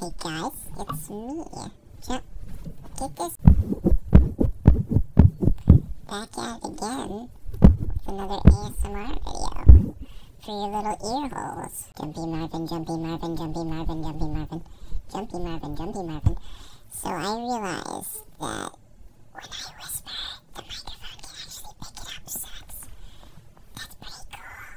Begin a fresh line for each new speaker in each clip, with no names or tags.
Hey guys, it's me. Yeah, get this back out again with another ASMR video for your little ear holes. Jumpy Marvin, Jumpy Marvin, Jumpy Marvin, Jumpy Marvin, Jumpy Marvin, Jumpy Marvin. So I realized that when I
whisper, the microphone can actually pick it up, that's pretty cool.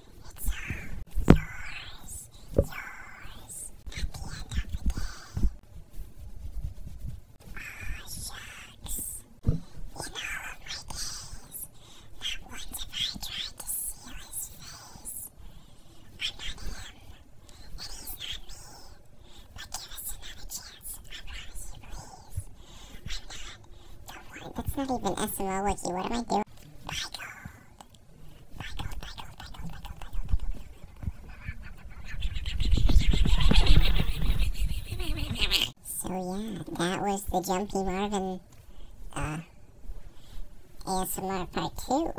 It's all yours, yours, at the end of the day. Aw, shucks. In all of my days, not once have I tried to seal his face. I'm not him, and not me. But give us another chance, I promise please. I'm not the one that's not even SML Wiki. What am I doing? So yeah, that was the Jumpy Marvin uh, ASMR part two.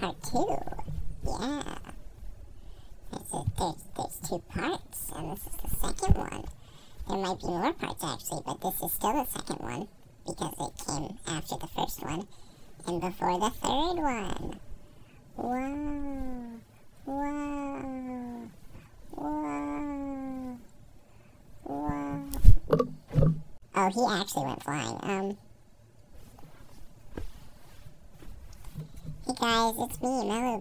Part two, yeah. There's, a, there's, there's two parts, and this is the second one. There might be more parts actually, but this is still the second one because it came after the first one and before the third one. Wow. Wow. Wow. Wow. Oh, he actually went flying. Um. Hey guys, it's me,